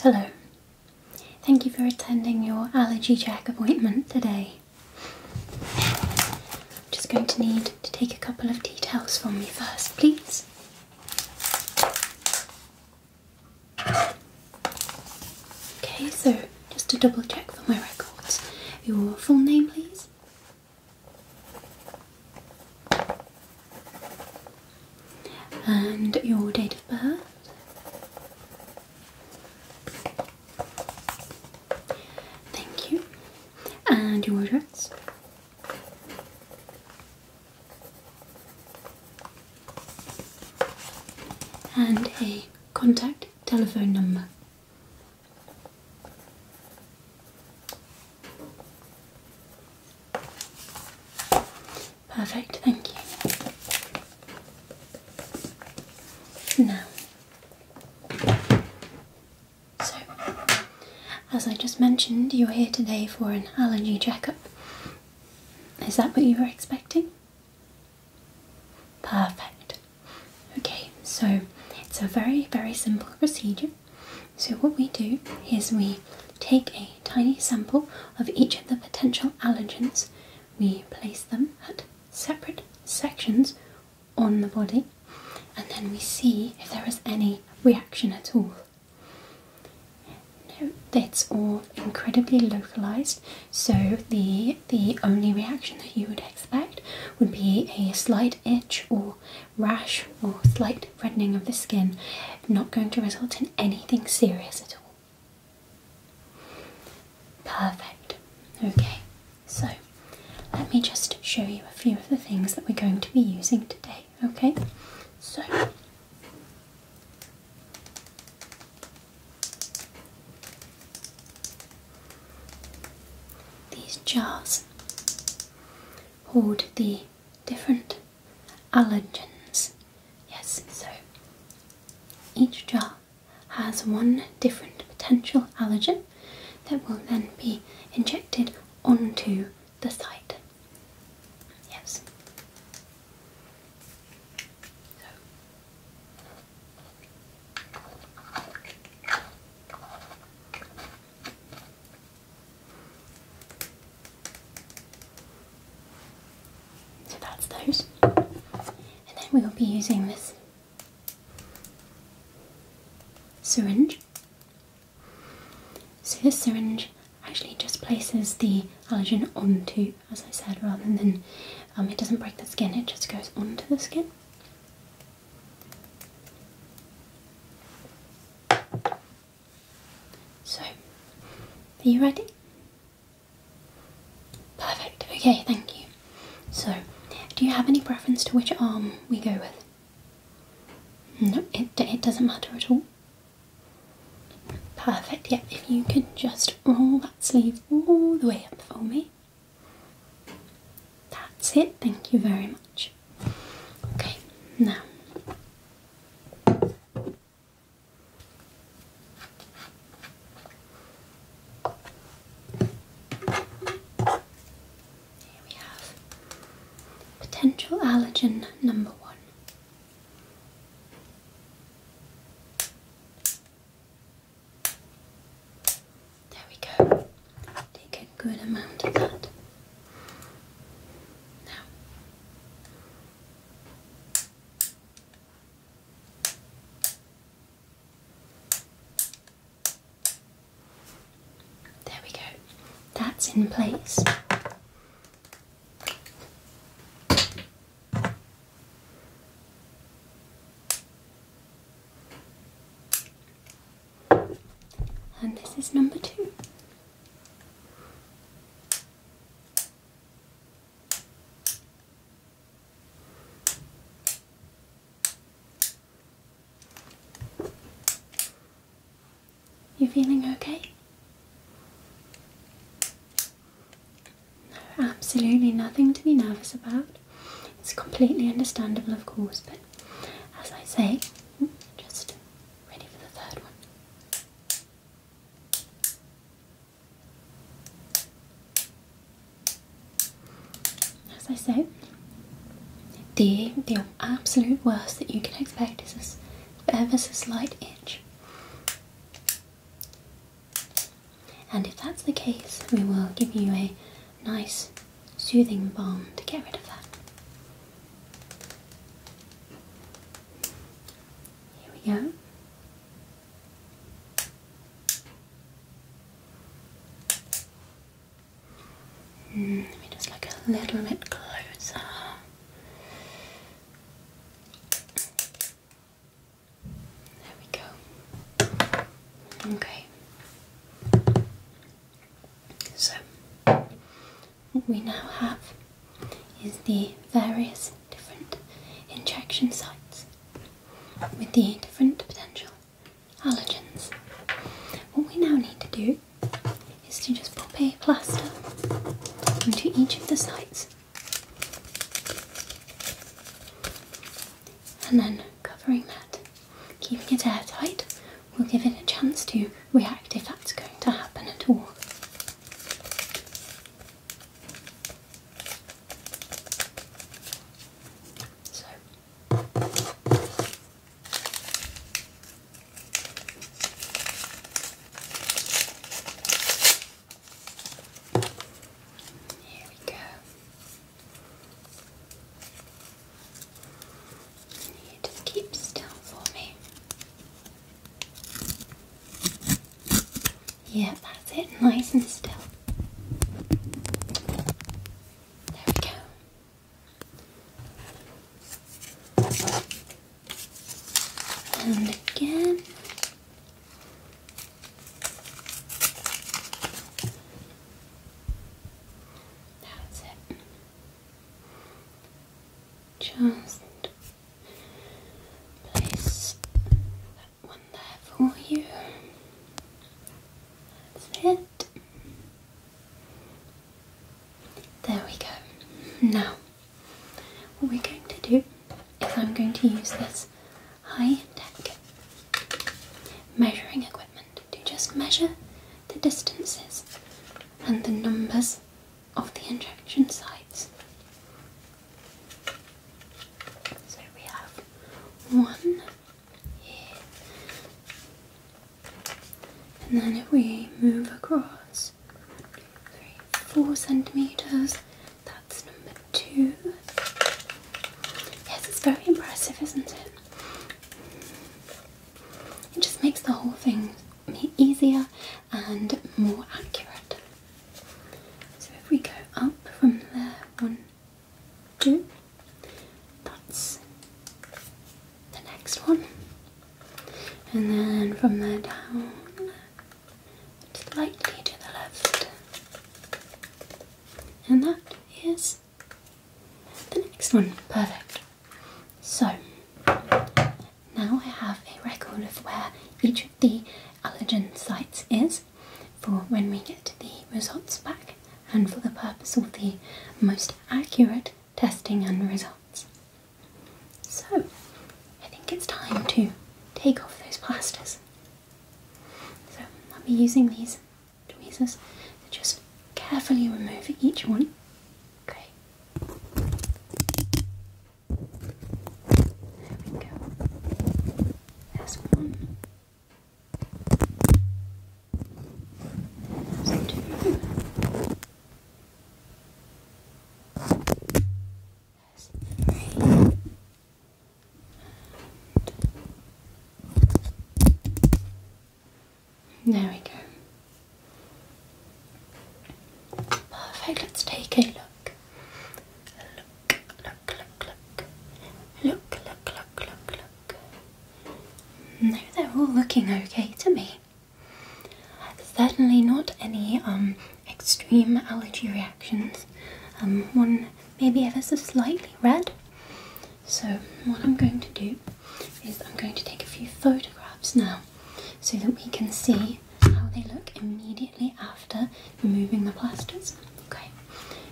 Hello. Thank you for attending your allergy check appointment today. I'm just going to need to take a couple of details from you first, please. Okay, so just to double check for my records, your full name, please. And your date of birth. Thank you. And your address. And a contact telephone number. Perfect, thank you. Now, so as I just mentioned, you're here today for an allergy checkup. Is that what you were expecting? Perfect. Okay, so it's a very, very simple procedure so what we do is we take a tiny sample of each of the potential allergens we place them at separate sections on the body and then we see if there is any reaction at all no, that's all incredibly localized so the the only reaction that you would expect would be a slight itch or rash or slight reddening of the skin, not going to result in anything serious at all. Perfect. Okay, so let me just show you a few of the things that we're going to be using today. Okay, so these jars hold the different allergens. Yes, so each jar has one different potential allergen that will then be injected onto the site. Yes. So that's those. And then we will be using this syringe. So this syringe actually just places the allergen onto, as I said, rather than um, it doesn't break the skin, it just goes onto the skin. So, are you ready? Perfect, okay, thank you. So, do you have any preference to which arm we go with? No, it, it doesn't matter at all. Perfect, yeah, if you could just roll that sleeve all the way up for me. That's it, thank you very much. Okay, now here we have potential allergen number one. There we go. Take a good amount of that. Now. There we go. That's in place and this is number two. You feeling okay? No, absolutely nothing to be nervous about. It's completely understandable, of course, but as I say, just ready for the third one. As I say, the the absolute worst that you can expect is this ever so slight itch. And if that's the case, we will give you a nice soothing balm to get rid of that. Here we go. Mm, let me just look a little bit closer. There we go. Okay. So, what we now have is the various different injection sites with the different potential allergens. What we now need to do is to just pop a plaster onto each of the sites and then covering that, keeping it airtight, will give it a chance to react if that's going to happen at all. So. Here we go. I keep still for me. Yeah, that's it, nice and still. There we go. And again, that's it. Just place that one there for you. That's it. There we go. Now, what we're going to do if I'm going to use this high tech measuring equipment to just measure the distances and the numbers of the injection sites. So we have one and then if we move across four centimeters, that that's number two. Yes, it's very impressive, isn't it? It just makes the whole thing easier and more accurate. So if we go up from there, one, two, that's the next one, and then from there down, slightly to the left. And that is the next one. Perfect. So now I have a record of where each of the allergen sites is for when we get the results back and for the purpose of the most accurate testing and results. So, I think it's time to take off those plasters. So, I'll be using these tweezers to just carefully remove each one. Okay. There we go. There's one. There's two there we go. Perfect. Let's take a look. Look, look, look, look. Look, look, look, look, look. No, they're all looking okay to me. Certainly not any um, extreme allergy reactions. Um, one maybe ever so slightly red. So what I'm going to do is I'm going to take a few photographs now so that we can see how they look immediately after removing the plasters. Okay,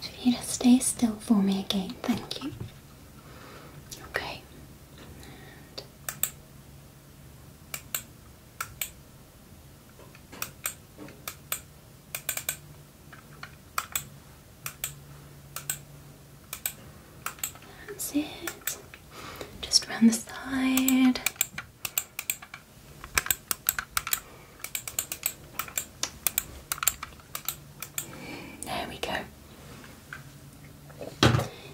so if you just stay still for me again, thank you. Okay, that's it. Just round the side. There we go.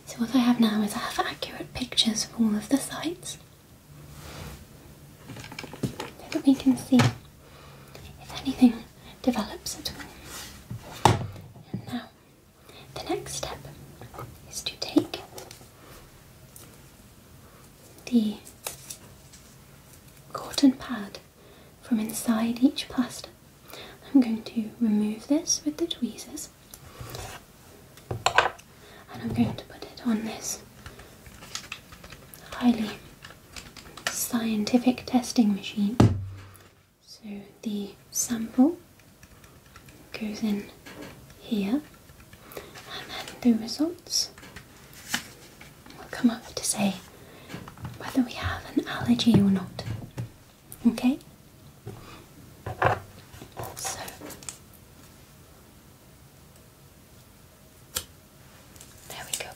So what I have now is I have accurate pictures of all of the sites so that we can see if anything develops at all. now the next step is to take the cotton pad from inside each plaster. I'm going to remove this with the tweezers and I'm going to put it on this highly scientific testing machine. So the sample goes in here and then the results will come up to say whether we have an allergy or not. Okay? So there we go.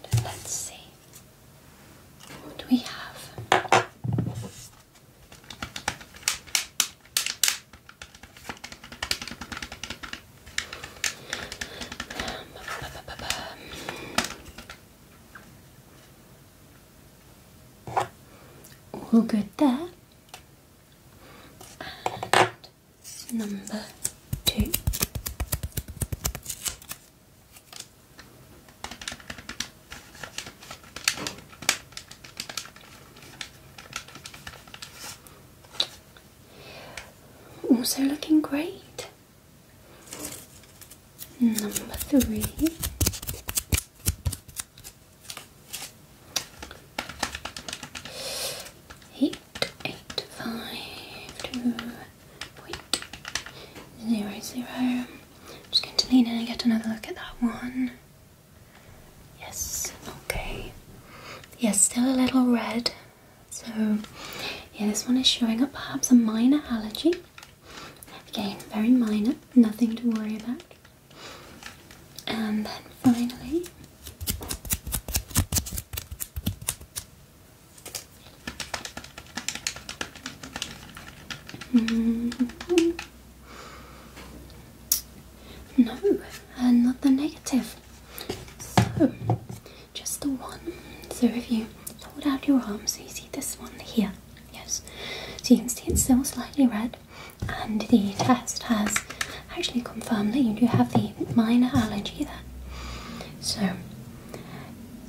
And let's see what we have. All good that. number two. Also looking great. Number three. Eight, eight, five, just going to lean in and get another look at that one. Yes, okay. Yes, still a little red. So, yeah, this one is showing up perhaps a minor allergy. Again, very minor, nothing to worry about. And then finally, mm-hmm. No, and uh, not the negative. So, just the one. So if you hold out your arm, so you see this one here. Yes. So you can see it's still slightly red, and the test has actually confirmed that you do have the minor allergy there. So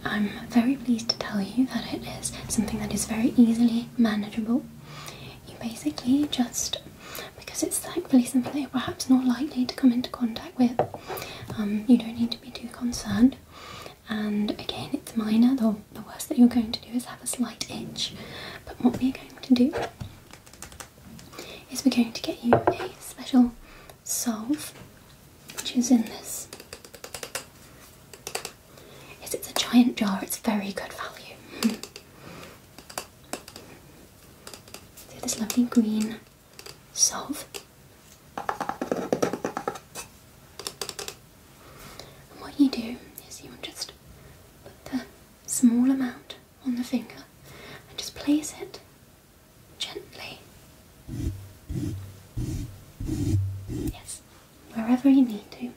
I'm very pleased to tell you that it is something that is very easily manageable. You basically just because it's thankfully something that you're perhaps not likely to come into contact with. Um, you don't need to be too concerned. And again, it's minor. The, the worst that you're going to do is have a slight itch. But what we're going to do is we're going to get you a special solve, which is in this is it's a giant jar, it's very good value. See this lovely green salve. what you do is you just put the small amount on the finger and just place it gently. Yes, wherever you need to.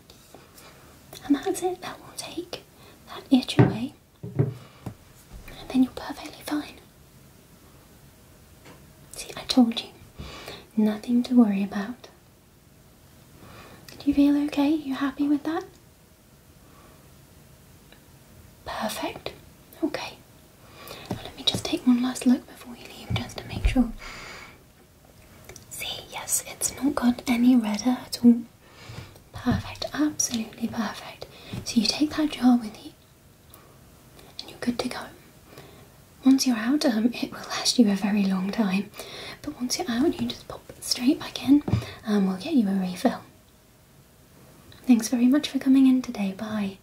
And that's it, that will take that itch away, and then you're perfectly fine. See, I told you, nothing to worry about. Do you feel okay? You happy with that? Perfect. Okay let me just take one last look before you leave just to make sure. See, yes, it's not got any redder at all. Perfect, absolutely perfect. So you take that jar with you and you're good to go. Once you're out, um, it will last you a very long time. But once you're out, you just pop straight back in and we'll get you a refill. Thanks very much for coming in today. Bye.